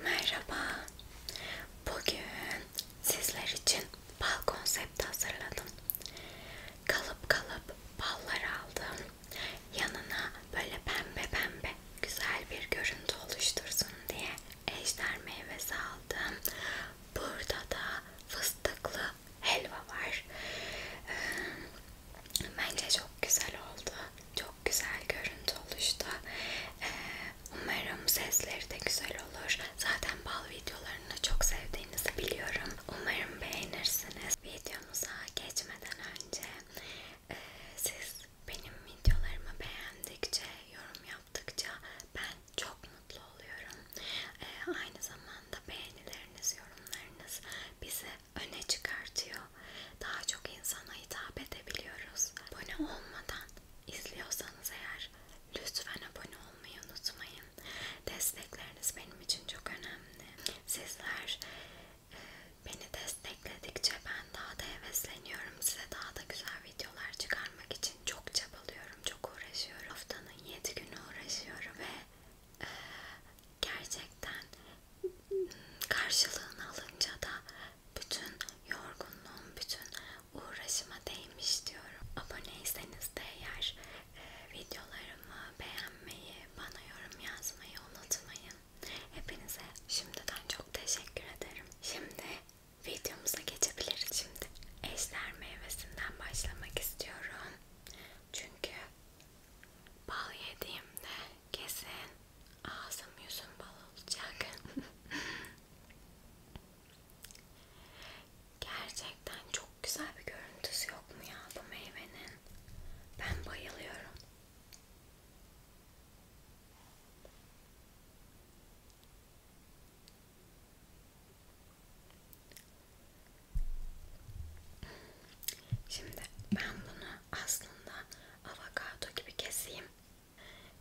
Merhaba. Bugün sizler için bal konsepti hazırladım. Kalıp kalıp ballar aldım. Yanına böyle pembe pembe güzel bir görüntü oluştursun diye ejder meyvesi aldım. Burada da fıstıklı helva var. Ee, bence çok güzel oldu. Çok çok güzel görüntü oluştu. Ee, umarım sesleri de güzel olur. Zaten bal videolarını çok sevdiğinizi biliyorum. Umarım beğenirsiniz. Videomuza geçmeden önce e, siz benim videolarımı beğendikçe, yorum yaptıkça ben çok mutlu oluyorum. E, aynı zamanda beğenileriniz, yorumlarınız bizi öne çıkartıyor daha çok insana hitap edebiliyoruz. Abone olmadan izliyorsanız eğer lütfen abone olmayı unutmayın. Destekleriniz benim için çok önemli. Sizler e, beni destekledikçe ben daha da hevesleniyorum. Size daha da güzel videolar çıkarmak için çok çabalıyorum, çok uğraşıyorum. Haftanın 7 günü uğraşıyorum ve e, gerçekten karşılığını alınca da bütün yorgunluğum, bütün uğraşıma değmiş diyorum. Aboneyseniz de eğer e, videolarımı beğenmeyi, bana yorum yazmayı unutmayın. Hepinize şimdiden çok teşekkür ederim. Şimdi videomuza geçebiliriz şimdi. Ejder meyvesinden başlamak istiyorum. Çünkü bal yediğimde Kesin ağzım yüzüm bal olacak. Gerçekten çok güzel bir görüntüsü yok mu ya bu meyvenin? Ben bayılıyorum. Şimdi ben bunu aslında avokado gibi keseyim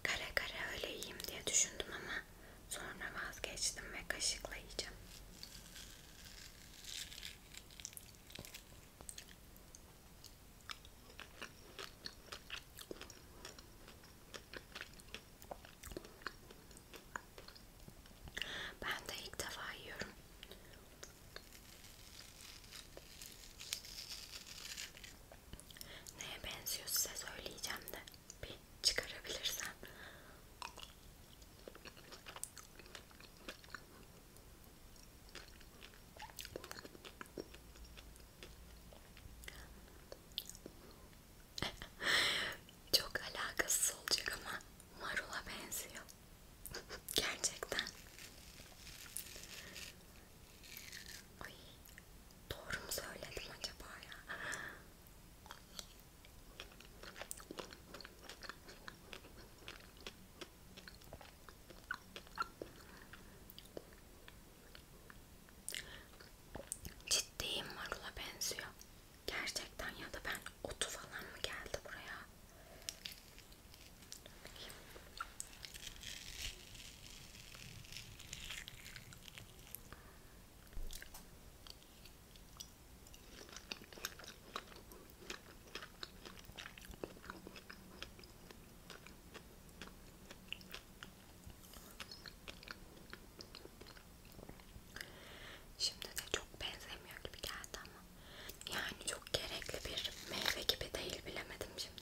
kare kare öyle yiyeyim diye düşündüm ama sonra vazgeçtim ve kaşıkla yiyeceğim ben de ilk defa yiyorum Neye benziyor size söyleyeceğim de bir çıkarabilirsem. Çok alakasız olacak ama marula benziyor. Gerçekten. Ay, doğru mu söyledim acaba ya? Ciddiyim marula benziyor. Gerçekten ya da ben otu falan mı geldi buraya? Şimdi de çok benzemiyor gibi geldi ama yani çok gerekli bir meyve gibi değil bilemedim şimdi.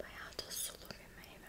Bayağı da sulu bir meyve.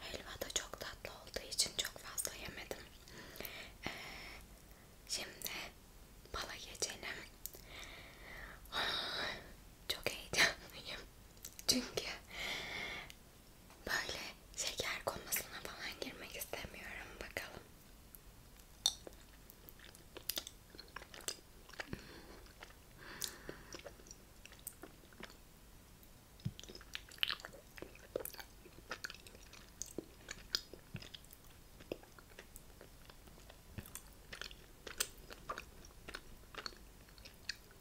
Helva da çok tatlı olduğu için çok fazla yemedim. Ee, şimdi bala geçelim. Ah, çok heyecanlıyım. Çünkü Böyle şeker komasına falan girmek istemiyorum. Bakalım.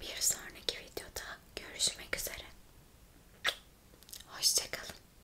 Bir sonraki videoda görüşmek üzere. Hoşçakalın.